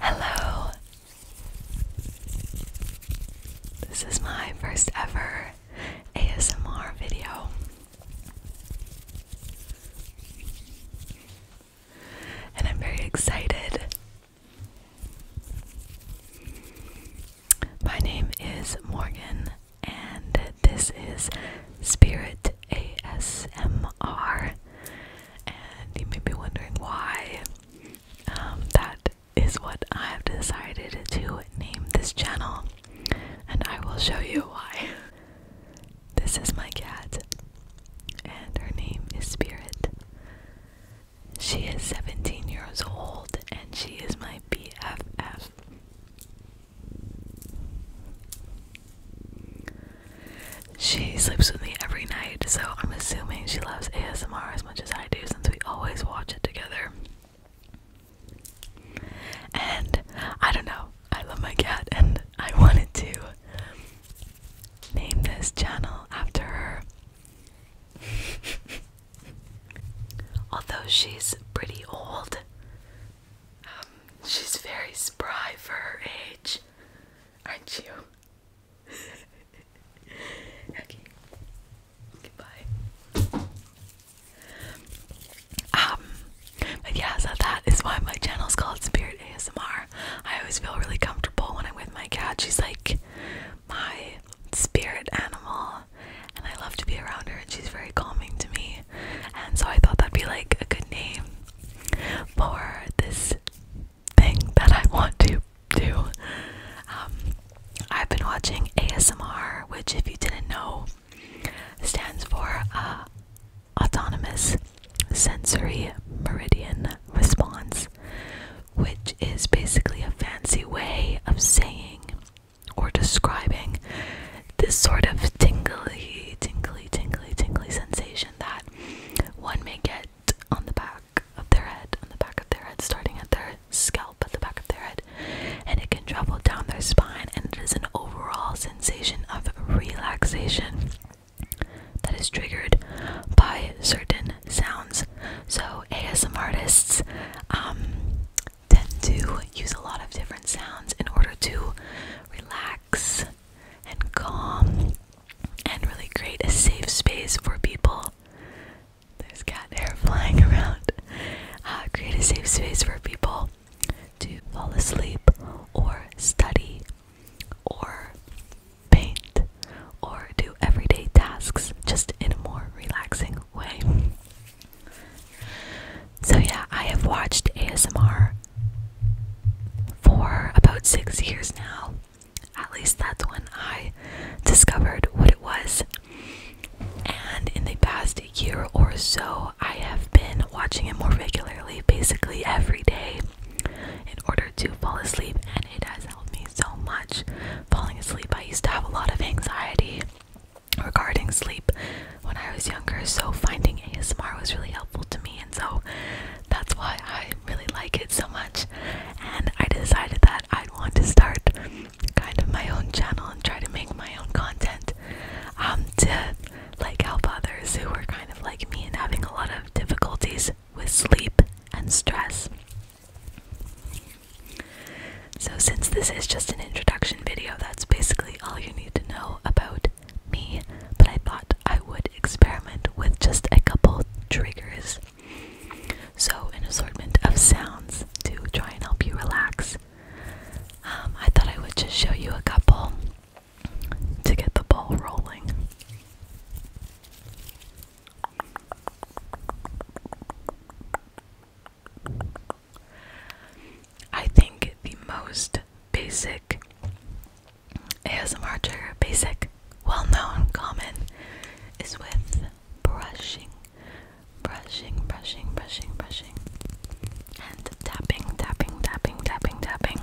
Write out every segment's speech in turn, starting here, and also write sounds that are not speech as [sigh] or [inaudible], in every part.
Hello. This is my first ever ASMR video. And I'm very excited. My name is Morgan, and this is Spirit ASMR and you may be wondering why. Um, that is what I have decided to name this channel, and I will show you why. [laughs] This is my cat, and her name is Spirit. She is 17 years old, and she is my BFF. She sleeps with me every night, so I'm assuming she loves ASMR as much as I do since we always watch it together. And I don't know, I love my cat, and I wanted to name this channel after her. [laughs] Although she's pretty old, um, she's very spry for her age, aren't you? [laughs] okay. Goodbye. Um, but yeah, so that is why my channel is called Spirit ASMR. I always feel really comfortable when I'm with my cat. She's like my spirit animal, and I love to be around her, and she's very calming to me. And so I thought that'd be like a good name for this thing that I want to do. Um, I've been watching ASMR, which, if you didn't know, stands for uh, Autonomous Sensory Meridian Response, which is basically a fancy way of saying or describing this sort of tingly, tingly, tingly, tingly sensation that one may get on the back of their head, on the back of their head, starting at their scalp, at the back of their head, and it can travel down their spine, and it is an overall sensation of relaxation that is triggered by certain sounds. So ASM artists um, tend to use a lot of different sounds in order to relax and calm and really create a safe space for people. There's cat hair flying [laughs] around. Uh, create a safe space for people to fall asleep or study or paint or do everyday tasks just in a more relaxing way. So, yeah, I have watched ASMR for about six years now. At least that's when I discovered what it was. And in the past year or so, I have been watching it more regularly, basically every day, in order to fall asleep. And it has helped me so much falling asleep. I used to have a lot of anxiety regarding sleep when I was younger, so finding ASMR was really helpful to me, and so that's why I really like it so much. And I decided that i want to start kind of my own channel and try to make my own content um, to like help others who are kind of like me and having a lot of difficulties with sleep and stress. So, since this is just an introduction video, that's basically all you need to know about me. But I thought I would experiment with just a couple triggers. So, an assortment of sounds to try and help you relax. Um, I thought I would just show you a couple to get the ball rolling. I think the most basic ASMR trigger, basic, well known, common, is with brushing, brushing, brushing, brushing, brushing, and tapping, tapping, tapping, tapping, tapping.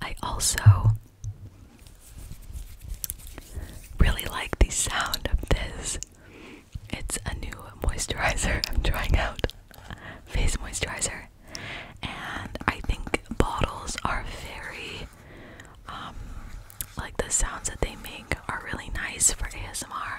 I also really like the sound of this. It's a new moisturizer [laughs] I'm trying out, face moisturizer, and I think bottles are very, um, like the sounds that they make are really nice for ASMR.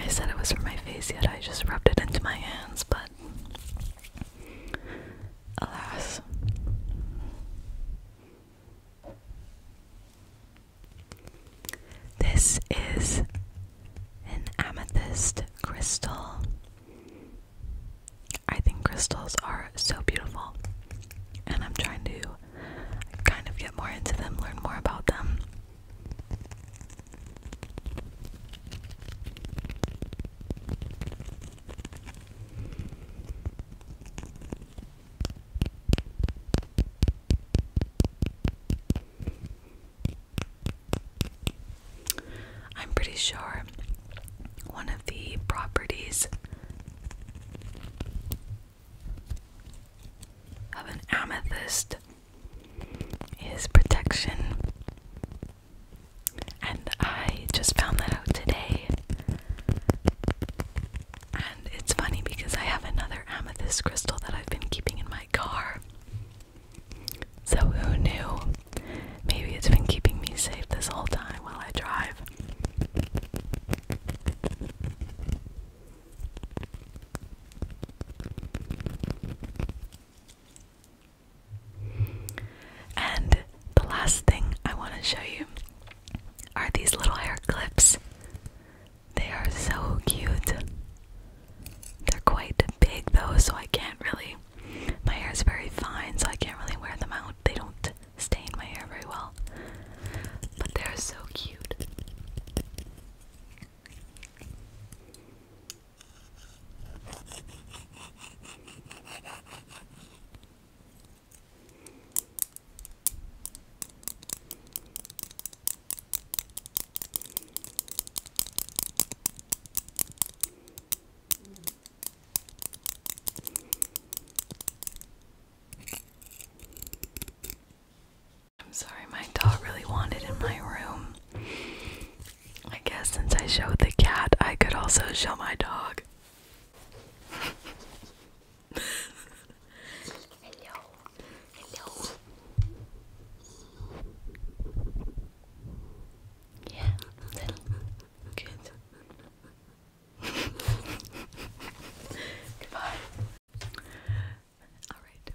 I said it was for my face, yet I just rubbed it into my hands, but alas. This is an amethyst crystal. I think crystals are so beautiful, and I'm trying to kind of get more into them, learn more about them. I'm pretty sure one of the properties of an amethyst is protection. And I just found that out today. And it's funny because I have another amethyst crystal that I've been keeping in my car. So who knew? Maybe it's been keeping me safe this whole time while I drive. And the last thing I want to show you are these little hair clips. They are so cute. They're quite big though, so I can't really. My hair is very fine, so I can't really wear them out. They don't stay in my hair very well. But they're so cute. I'm sorry, my dog really wanted in my room. I guess since I showed the cat, I could also show my dog. [laughs] hello, hello. Yeah, then good. Goodbye. All right.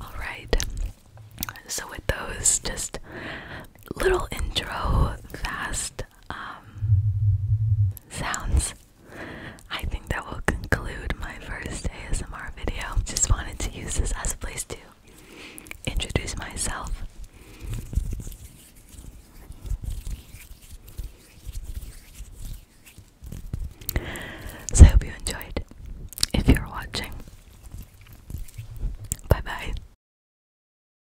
All right. So with those just little intro fast um, sounds. I think that will conclude my first ASMR video. Just wanted to use this as a place to introduce myself. So I hope you enjoyed. If you're watching, bye bye.